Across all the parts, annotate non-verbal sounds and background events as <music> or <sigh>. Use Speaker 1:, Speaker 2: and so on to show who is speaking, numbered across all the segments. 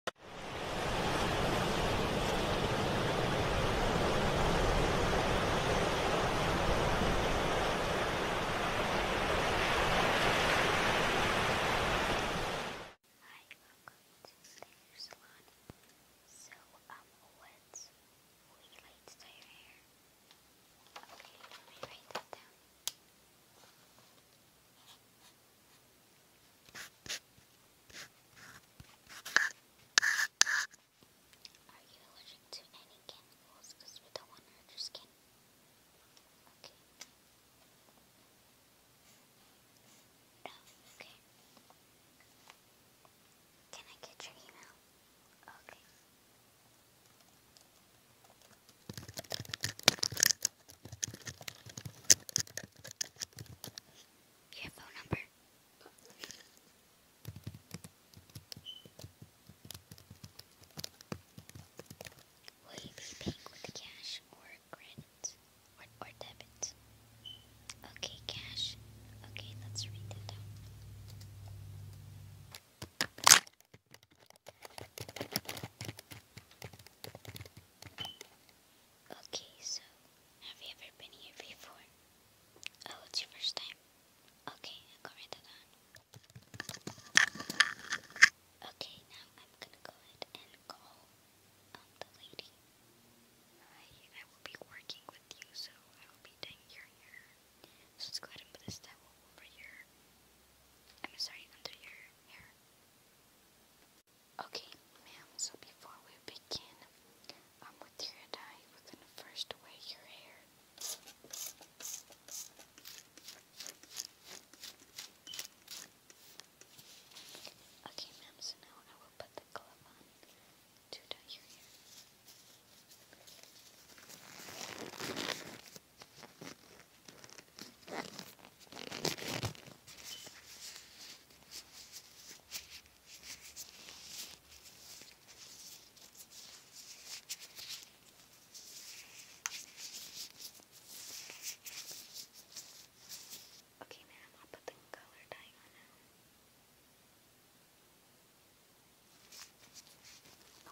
Speaker 1: Hi, welcome to the hair salon. So, um, what would you like to dye your Okay, let me write that down. Are you allergic to any chemicals? Because we don't want to hurt your skin. Okay. No, okay. Can I get your email? Okay. Your phone number. Will you be paying with cash or credit or, or debit? Okay, cash. Okay, let's read that down. Okay, so have you ever been here before?
Speaker 2: Oh, it's your first time. Okay, I'll write that down. Okay, now I'm gonna go ahead and call um, the lady. Hi, I will be working with you, so I will be doing your hair. So let's go ahead and put this towel over your
Speaker 3: I'm sorry, under your hair. Okay, ma'am, so before we begin um, with your dye, we're going to first weigh your hair. Okay, ma'am, so now I will put the glove on to dye your hair. Okay, ma'am, I'll put the color dye on now.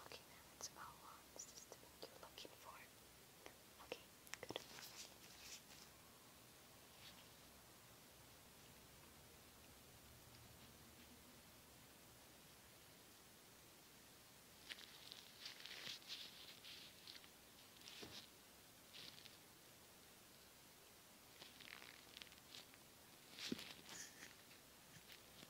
Speaker 3: Okay, now about wands. This is you looking for. Okay, good.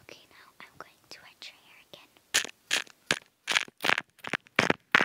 Speaker 3: Okay, now I'm going to wet your hair again.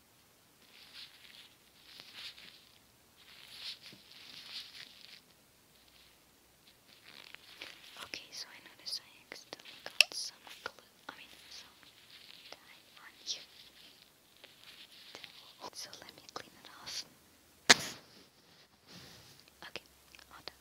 Speaker 4: Okay, so I noticed I accidentally got some glue, I mean some dye on you. So let me clean it off. Okay, all done.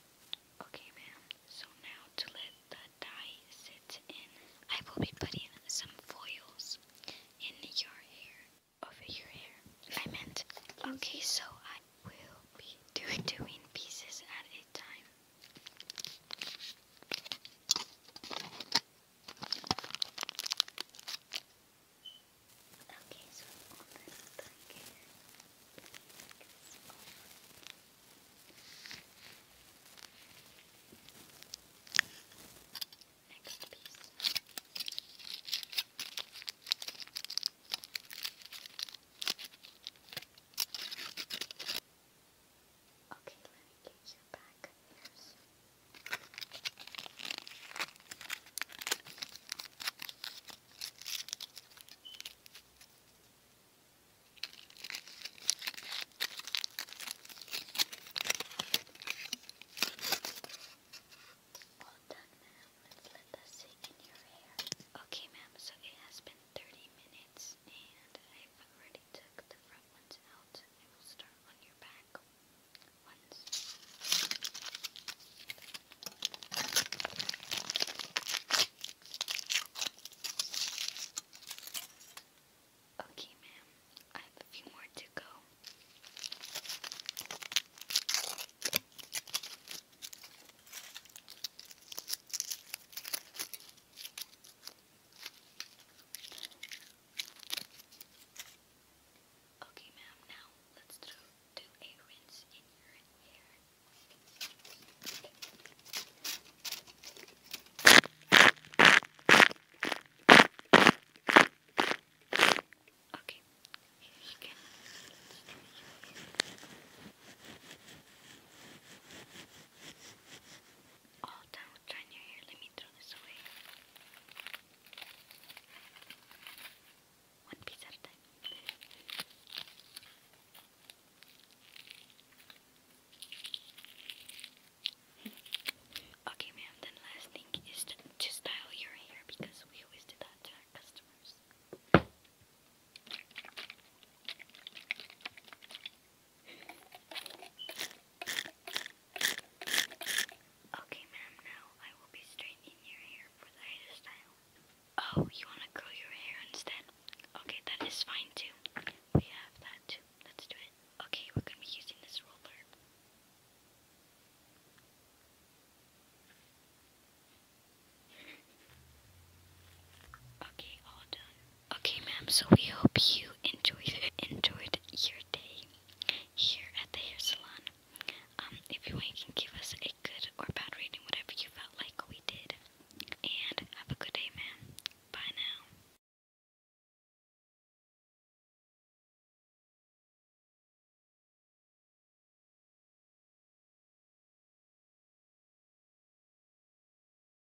Speaker 4: Okay, ma'am. So now to let the dye sit in, I will be putting some foils in your hair, over your hair. I meant. Okay, so I will be do doing pieces at a time. Okay, so all this blanket Next piece. Okay, let me get you back. Here's. Well done, ma'am. Let's let that sink in your hair. Okay, ma'am, so it has been 30 minutes, and I've already took the front ones out. I will start on your back ones. Okay, ma'am, I have a few more to go.
Speaker 5: Okay, ma'am, now let's do, do a rinse in your hair. Okay, here you can. Let's do your hair all done with drying your hair. Let me throw this away. One piece at a time. <laughs> okay, ma'am, then last thing is to style your hair because we always do that to our customers. Okay, ma'am, now I will be straightening your hair for the hairstyle. Oh, you want to curl your hair instead? Okay, that is fine too. We have that too. Let's do it. Okay, we're going to be using this roller.
Speaker 1: Okay, all done. Okay, ma'am, so we hope you enjoyed enjoyed your day here at the hair salon. Um, if you want, you can give us a good or bad rating, whatever you felt like we did. And have a good day, ma'am. Bye now.